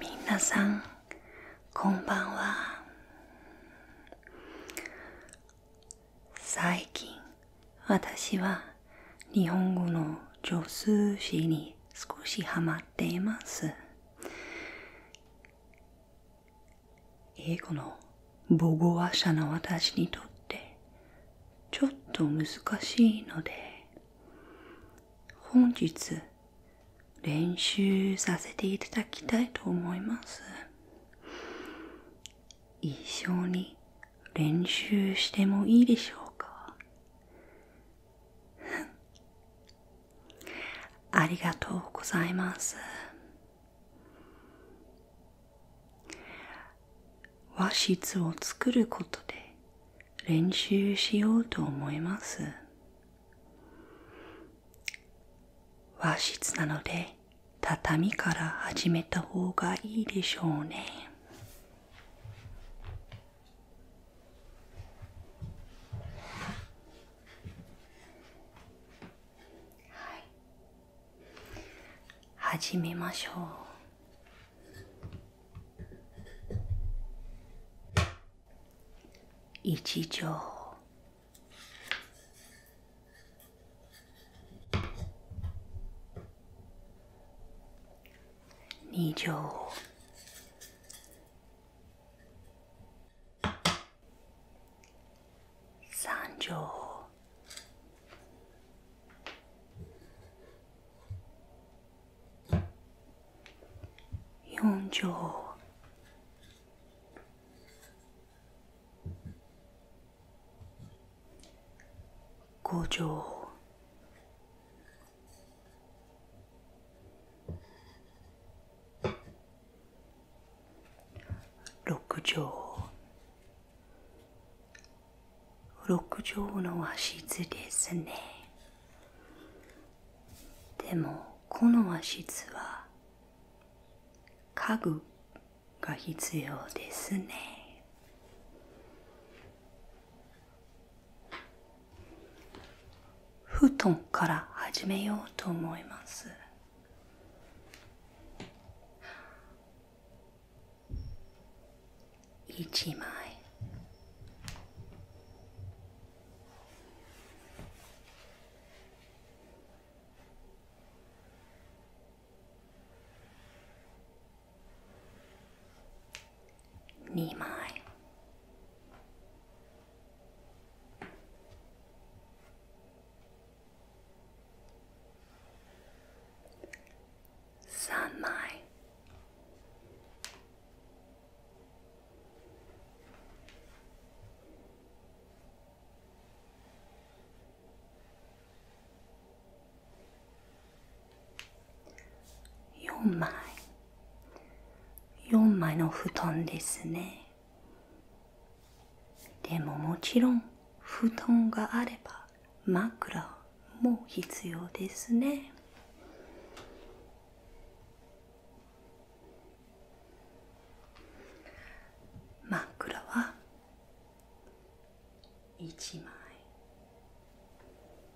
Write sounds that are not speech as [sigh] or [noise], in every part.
皆さんこんばんは最近私は日本語の助数詞に少しハマっています英語の母語話者の私にとってちょっと難しいので本日練習させていただきたいと思います一緒に練習してもいいでしょうかありがとうございます和室を作ることで練習しようと思います和室なので畳から始めた方がいいでしょうねはい始めましょう一条二条三畳。四畳。五畳。6畳6畳の和室ですねでもこの和室は家具が必要ですね布団から始めようと思います1枚2枚3枚4枚4枚の布団ですねでももちろん布団があれば枕も必要ですね枕は1枚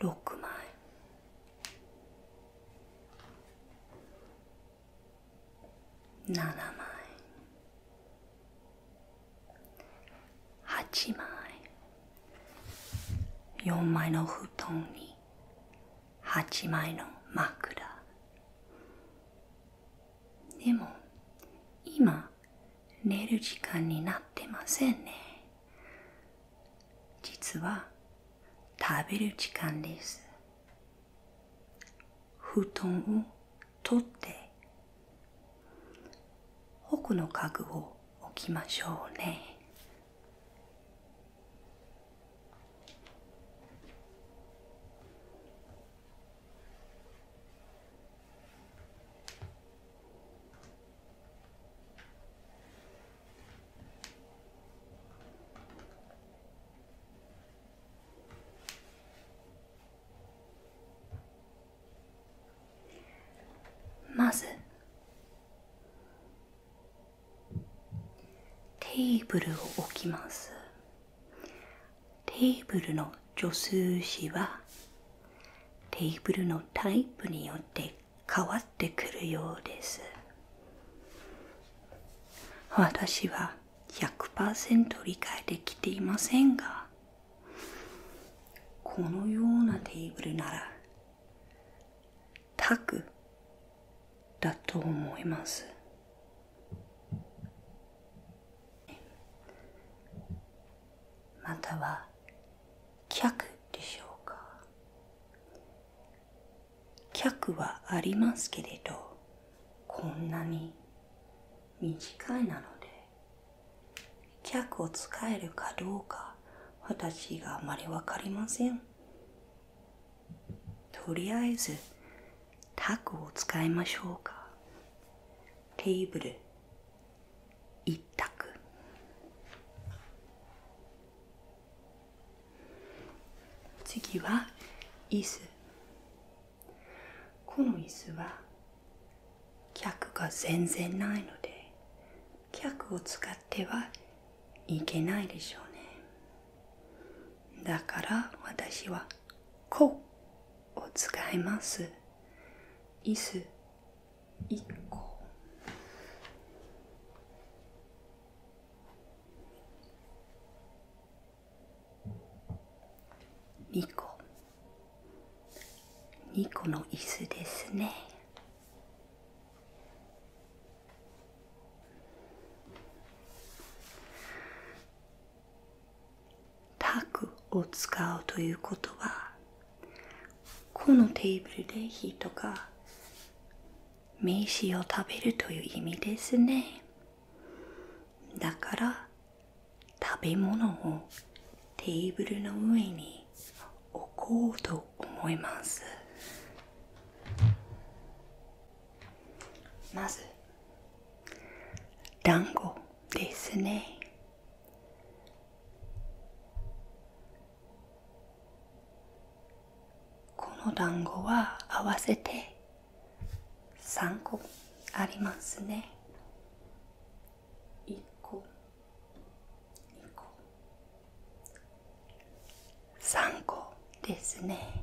6万円7万円8万円4枚の布団に8枚の枕でも今寝る時間になってませんね実は食べる時間です布団を取って奥の家具を置きましょうねまずテーブルを置きますテーブルの助数詞はテーブルのタイプによってります。変わってくるようです私は100%理解できていませんがこのようなテーブルならタグだと思いますまたは客でしょうか客はありますけれどこんなに短いなので客を使えるかどうか私があまり分かりませんとりあえずタクを使いましょうかテーブル一択次は椅子この椅子は客が全然ないので客を使ってはいけないでしょうねだから私は「こ」を使います椅子1個2個2個の椅子ですねタグを使うということはこのテーブルで人が刺を食べるという意味ですねだから食べ物をテーブルの上に置こうと思いますまず団子ですねこの団子は合わせて3個ありますね1個2個3個ですね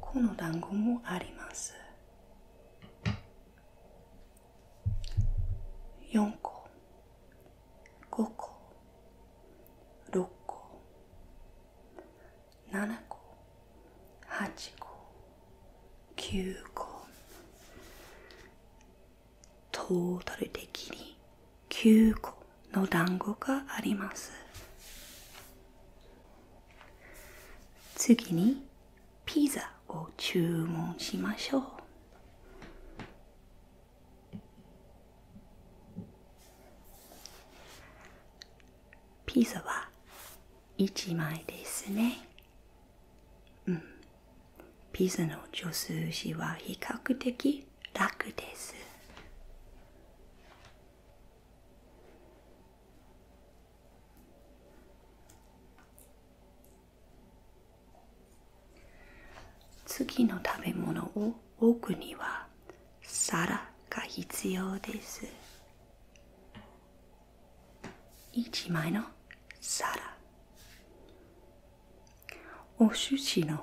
この団子もあります4個5個6個7個8個9個トータル的に9個の団子があります次にピザを注文しましょうピザは1枚ですねうんピザの助数詞は比較的り楽です次の食べ物を置くには皿が必要です1枚の皿お寿司の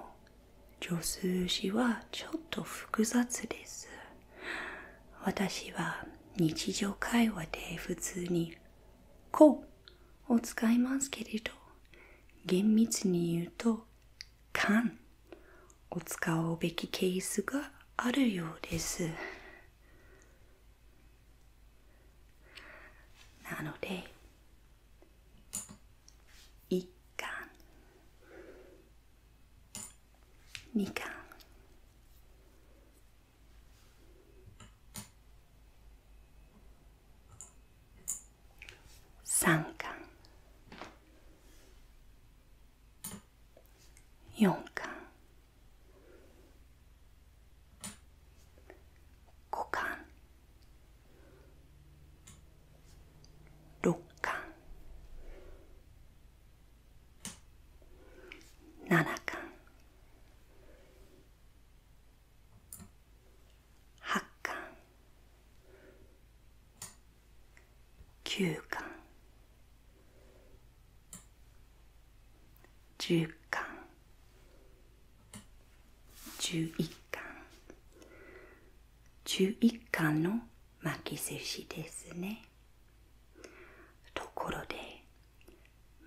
助数詞はちょっと複雑です私は日常会話で普通に「こ」うを使いますけれど厳密に言うと「かん」を使うべきケースがあるようですなので1巻2巻3巻4巻5巻六巻七巻八巻九巻十巻十一巻十一巻の巻き寿司ですね。ところで、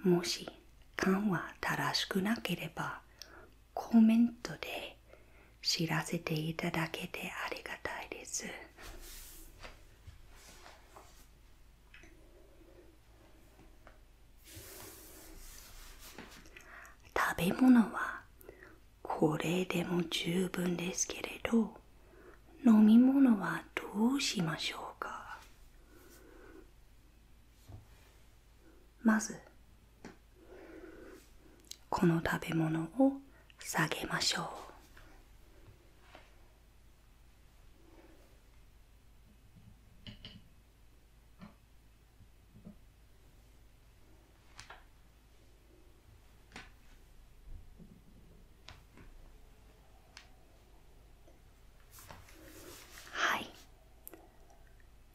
もし缶は正しくなければ、コメントで知らせていただけてありがたいです。食べ物はこれでも十分ですけれど飲み物はどうしましょうかまずこの食べ物を下げましょうは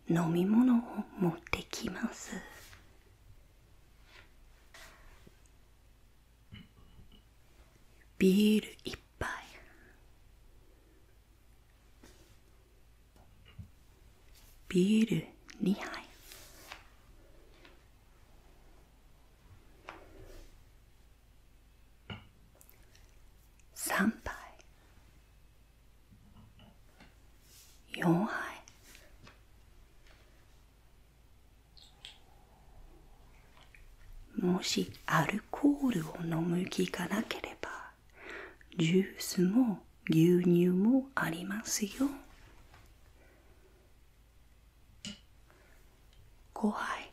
い飲み物を持ってきますビール一杯ビール2杯3杯4杯もしアルコールを飲む気がなければジュースも牛乳もありますよ5杯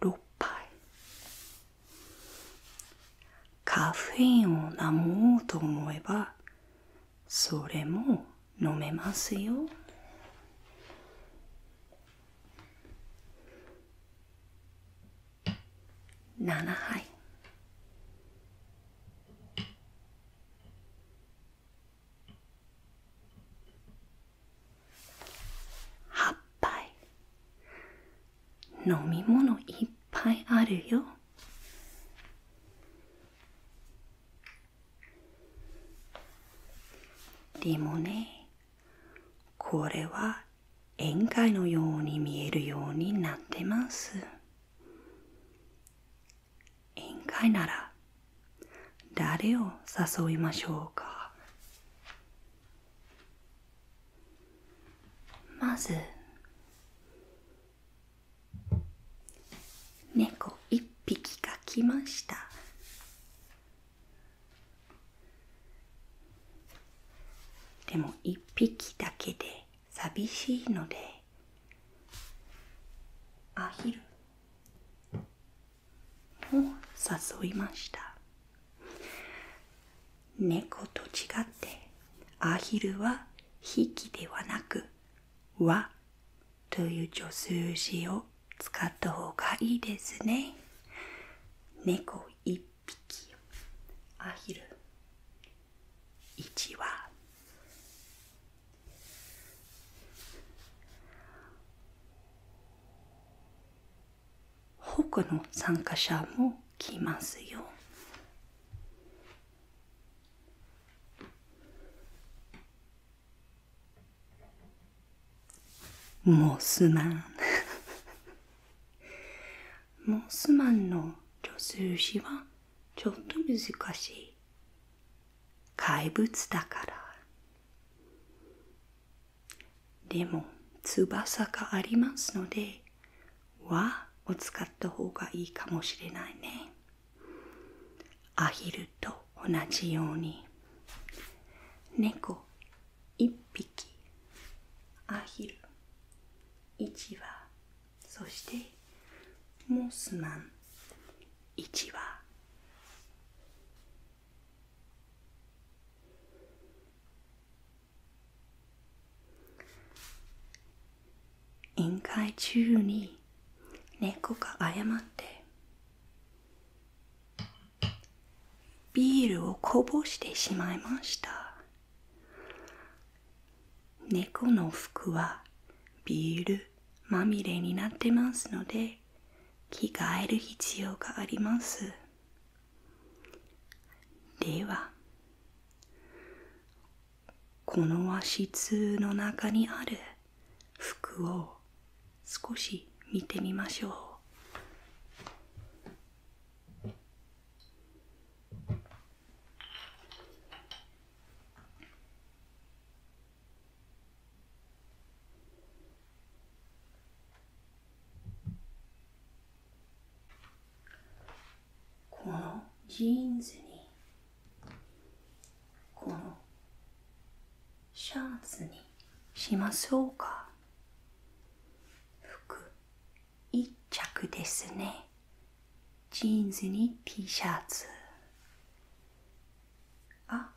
6杯カフェインを飲もうと思えばそれも飲めますよ七杯八杯飲み物いっぱいあるよリモネこれは宴会のように見えるようになってます宴会なら誰を誘いましょうかまず猫一匹が来ましたでも1匹だけで寂しいのでアヒルを誘いました猫と違ってアヒルは引きではなく和という助数詞を使った方がいいですね。猫匹1羽他の参加者も来ますよモスマン [laughs] モスマンの助数詞はちょっと難しい怪物だからでも翼がありますので和を使った方がいいかもしれないねアヒルと同じように猫一匹アヒル1羽そしてモスマン1羽委員会中に猫が謝ってビールをこぼしてしまいました猫の服はビールまみれになってますので着替える必要がありますではこの和室の中にある服を少し見てみましょうこのジーンズにこのシャツにしましょうか服一着ですねジーンズに T シャツあ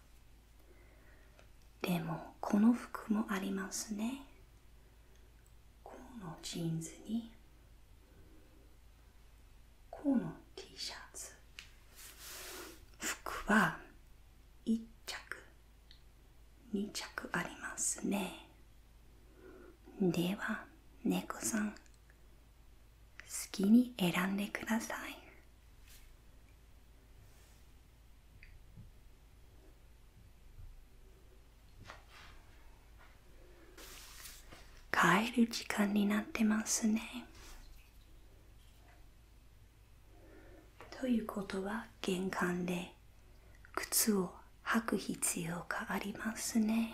でもこの服もありますねこのジーンズにこの T シャツ服は一着2着ありますねでは猫さん好きに選んでください帰る時間になってますねということは玄関で靴を履く必要がありますね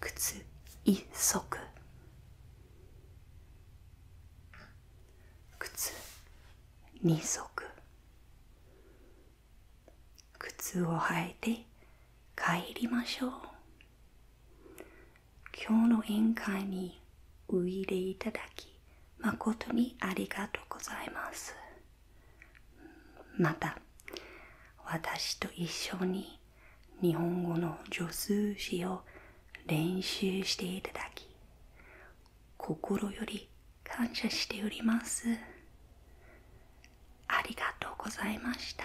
靴一足靴二足靴を履いて帰りましょう今日の宴会においでいただき誠にありがとうございますまた私と一緒に日本語の助数詞を練習していただき心より感謝しておりますありがとうございました